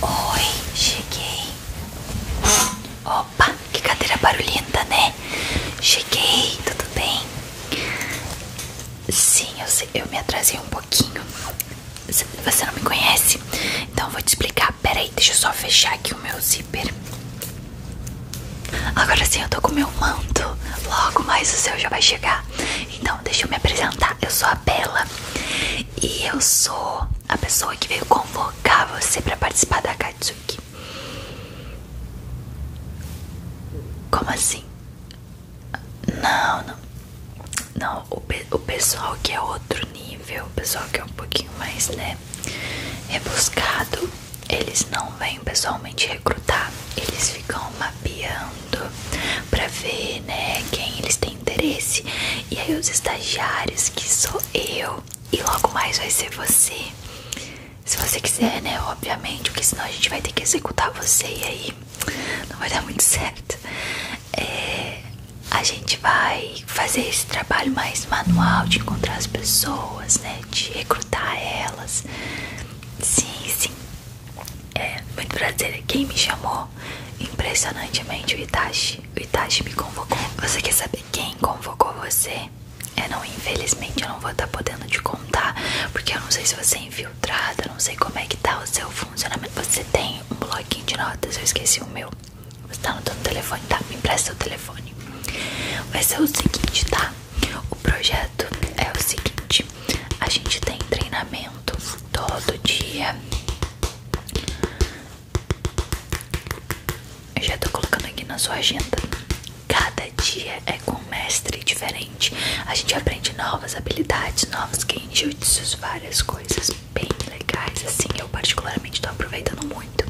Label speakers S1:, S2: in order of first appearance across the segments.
S1: Oi, cheguei. Opa, que cadeira barulhenta, né? Cheguei, tudo bem? Sim, eu, me atrasei um pouquinho. Você não me conhece? Então vou te explicar. Peraí, deixa eu só fechar aqui o meu zíper. Agora sim, eu tô com meu manto. Logo mais o seu já vai chegar. Então, deixa eu me apresentar. Eu sou a Bela. E eu sou a pessoa que veio convocar você para participar da Katsuki. Como assim? Não, não. Não, o, o pessoal que é outro nível, o pessoal que é um pouquinho mais, né, é buscado. eles não vêm pessoalmente recrutar, eles ficam mapeando pra ver, né, quem eles têm interesse. E aí os estagiários, que sou eu, e logo mais vai ser você. Se você quiser, né? Obviamente, porque senão a gente vai ter que executar você e aí não vai dar muito certo. É, a gente vai fazer esse trabalho mais manual de encontrar as pessoas, né? De recrutar elas. Sim, sim. É muito prazer. Quem me chamou Impressionantemente, o Itachi, o Itachi me convocou. Você quer saber quem convocou você? É, não, infelizmente eu não vou estar tá podendo te contar, porque eu não sei se você é infiltrada, não sei como é que tá o seu funcionamento. Você tem um bloquinho de notas, eu esqueci o meu. Você está no teu telefone, tá? Me empresta o telefone. Vai ser o seguinte, tá? O projeto é o seguinte: a gente tem treinamento todo dia eu já tô colocando aqui na sua agenda. Cada dia é com mestre diferente. A gente aprende novas habilidades, novos genjutsus, várias coisas bem legais. Assim, eu particularmente tô aproveitando muito.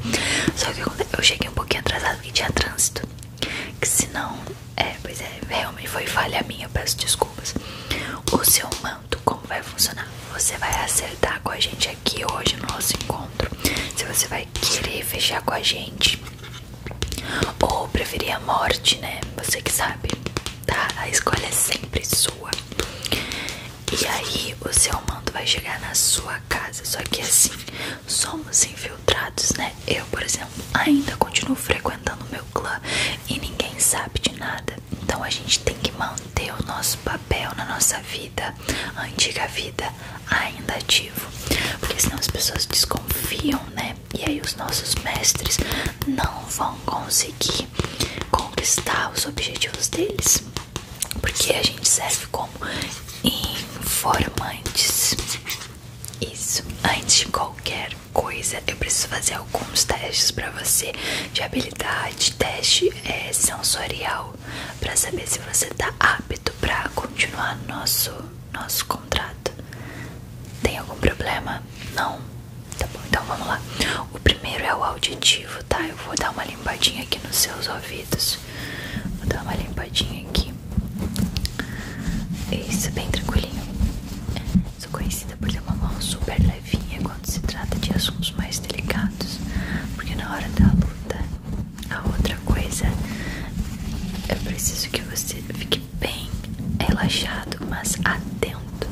S1: Só que eu cheguei um pouquinho atrasado porque tinha trânsito. Que se não, é, pois é, realmente foi falha minha, peço desculpas. O seu man como vai funcionar. Você vai acertar com a gente aqui hoje no nosso encontro. Se você vai querer fechar com a gente ou preferir a morte, né? Você que sabe, tá? A escolha é sempre sua. E aí o seu manto vai chegar na sua casa. Só que assim, somos infiltrados, né? Eu, por exemplo, ainda continuo frequentando o meu clã e ninguém sabe de nada. Então a gente tem que manter o nosso papel na nossa vida, antiga vida, ainda ativo. Porque senão as pessoas desconfiam, né? E aí os nossos mestres não vão conseguir conquistar os objetivos deles. Porque a gente serve como informantes. Isso. Antes de qualquer coisa, eu preciso fazer alguns testes para você de habilidade, teste é, sensorial, para saber se você tá apto para continuar nosso nosso contrato. Tem algum problema? Não. Tá bom, então vamos lá. O primeiro é o auditivo, tá? Eu vou dar uma limpadinha aqui nos seus ouvidos. Vou dar uma limpadinha aqui. é Isso, bem tranquilinho. Sou conhecida por ter uma mão super levinha quando se trata de assuntos mais delicados, porque na hora da luta, a outra coisa é preciso que você fique bem relaxado, mas atento,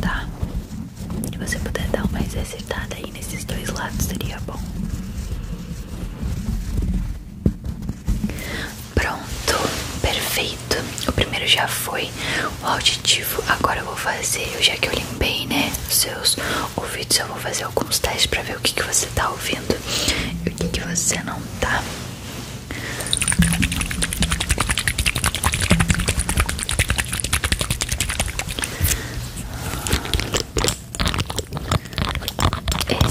S1: tá? Se você puder dar uma acertada aí nesses dois lados, seria bom. Pronto, perfeito. O primeiro já foi o auditivo. Agora eu vou fazer, eu já que eu limpei, né? seus ouvidos, eu vou fazer alguns testes pra ver o que, que você tá ouvindo e o que, que você não tá.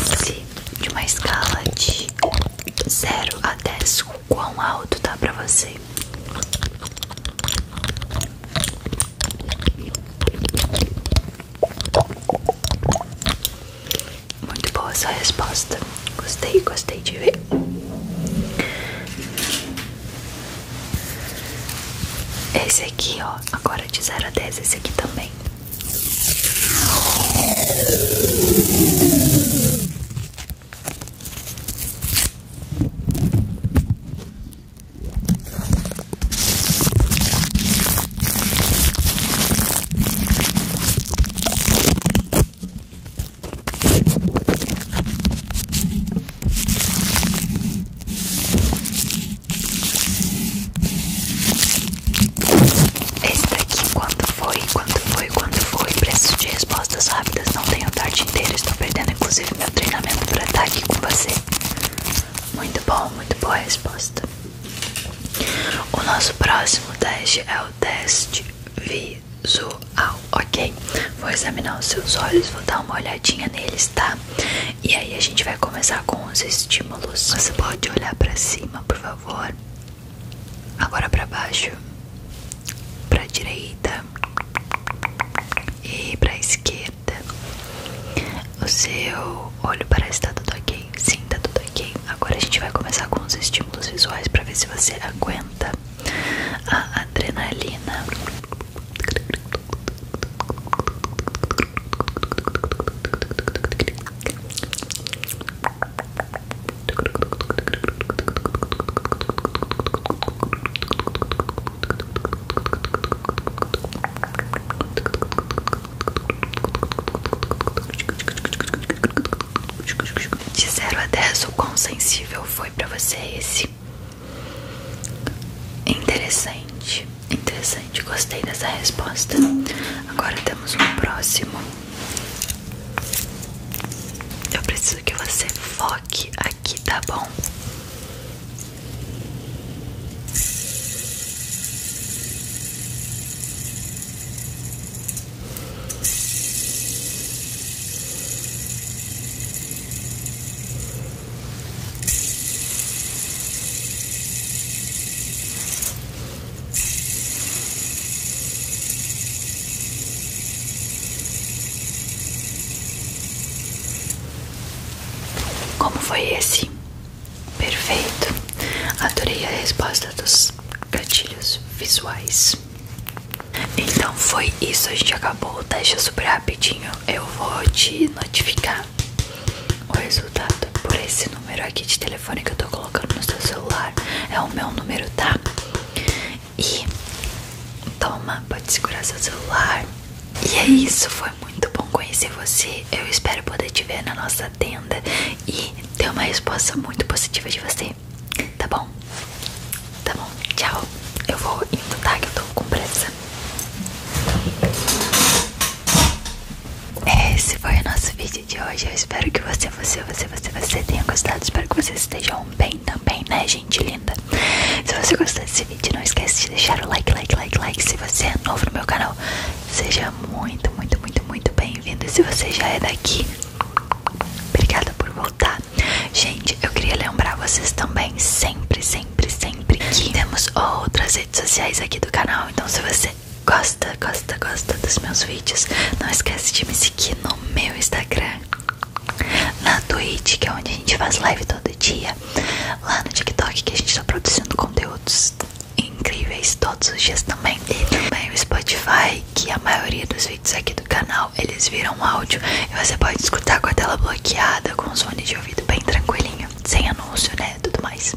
S1: Esse de uma escala de 0 a 10 o quão alto tá pra você. Muito boa essa resposta. Gostei, gostei de ver. Esse aqui, ó, agora de zero a dez, esse aqui também. Esse aqui quando foi Quanto foi, quanto foi? Preciso de respostas rápidas. Não tenho tarde inteira. Estou perdendo, inclusive, meu treinamento para estar aqui com você. Muito bom, muito boa a resposta. O nosso próximo teste é o teste visual, ok? Vou examinar os seus olhos, vou dar uma olhadinha neles, tá? E aí a gente vai começar com os estímulos. Você pode olhar para cima, por favor. Agora para baixo para direita e para esquerda. O seu olho parece estar tá tudo ok. Sim, tá tudo ok. Agora a gente vai começar com os estímulos visuais para ver se você aguenta a adrenalina. De zero a dez, o quão sensível foi pra você esse? Interessante, interessante, gostei dessa resposta. Agora temos um próximo. Eu preciso que você foque aqui, tá bom? Como foi esse? Perfeito. Adorei a resposta dos gatilhos visuais. Então foi isso, a gente acabou o teste super rapidinho. Eu vou te notificar o resultado por esse número aqui de telefone que eu tô colocando no seu celular. É o meu número, tá? E toma, pode segurar seu celular. E é isso, foi muito bom conhecer você. Eu espero poder te ver na nossa tenda e ter uma resposta muito positiva de você. Tá bom? Tá bom, tchau. Eu vou indo, tá? Que eu tô com pressa. É, esse foi o nosso vídeo de hoje. Eu espero que você, você, você, você, você tenha gostado. Espero que vocês estejam vão então, também, então, né, gente linda? Se você gostou desse vídeo, não esquece de deixar o like, like, like, like. Se você é novo no meu canal, seja muito, muito, muito, muito bem-vindo. Se você já é daqui, obrigada por voltar. Gente, eu queria lembrar vocês também, sempre, sempre, sempre, que temos outras redes sociais aqui do canal. Então, se você gosta, gosta, gosta dos meus vídeos, não esquece de me seguir no meu Instagram na Twitch, que é onde a gente faz live todo dia, lá no TikTok, que a gente tá produzindo conteúdos incríveis todos os dias também, e também o Spotify, que a maioria dos vídeos aqui do canal eles viram áudio e você pode escutar com a tela bloqueada, com os som de ouvido bem tranquilinho, sem anúncio, né? Tudo mais.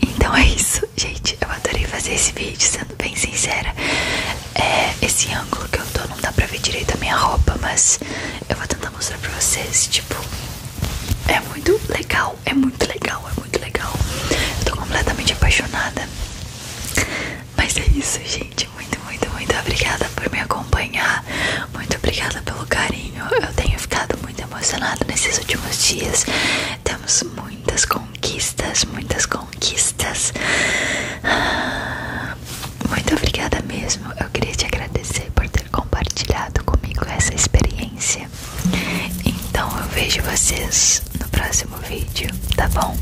S1: Então é isso, gente. Eu adorei fazer esse vídeo. Se bem sincera, é, esse ângulo que eu tô não dá pra ver direito a minha roupa, mas eu vou tentar mostrar pra vocês, tipo, é muito legal, é muito legal, é muito legal. Eu tô completamente apaixonada. Mas é isso, gente. Muito, muito, muito obrigada por me acompanhar. Muito obrigada pelo carinho. Eu tenho ficado muito emocionada nesses últimos dias. Temos muitas conquistas, muitas conquistas conquistas. Ah, muito obrigada mesmo. Eu queria te agradecer por ter compartilhado comigo essa experiência. Então eu vejo vocês no próximo vídeo, tá bom?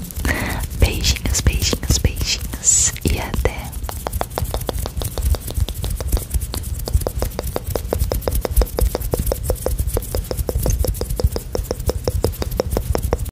S1: Beijinhos, beijinhos, beijinhos e até.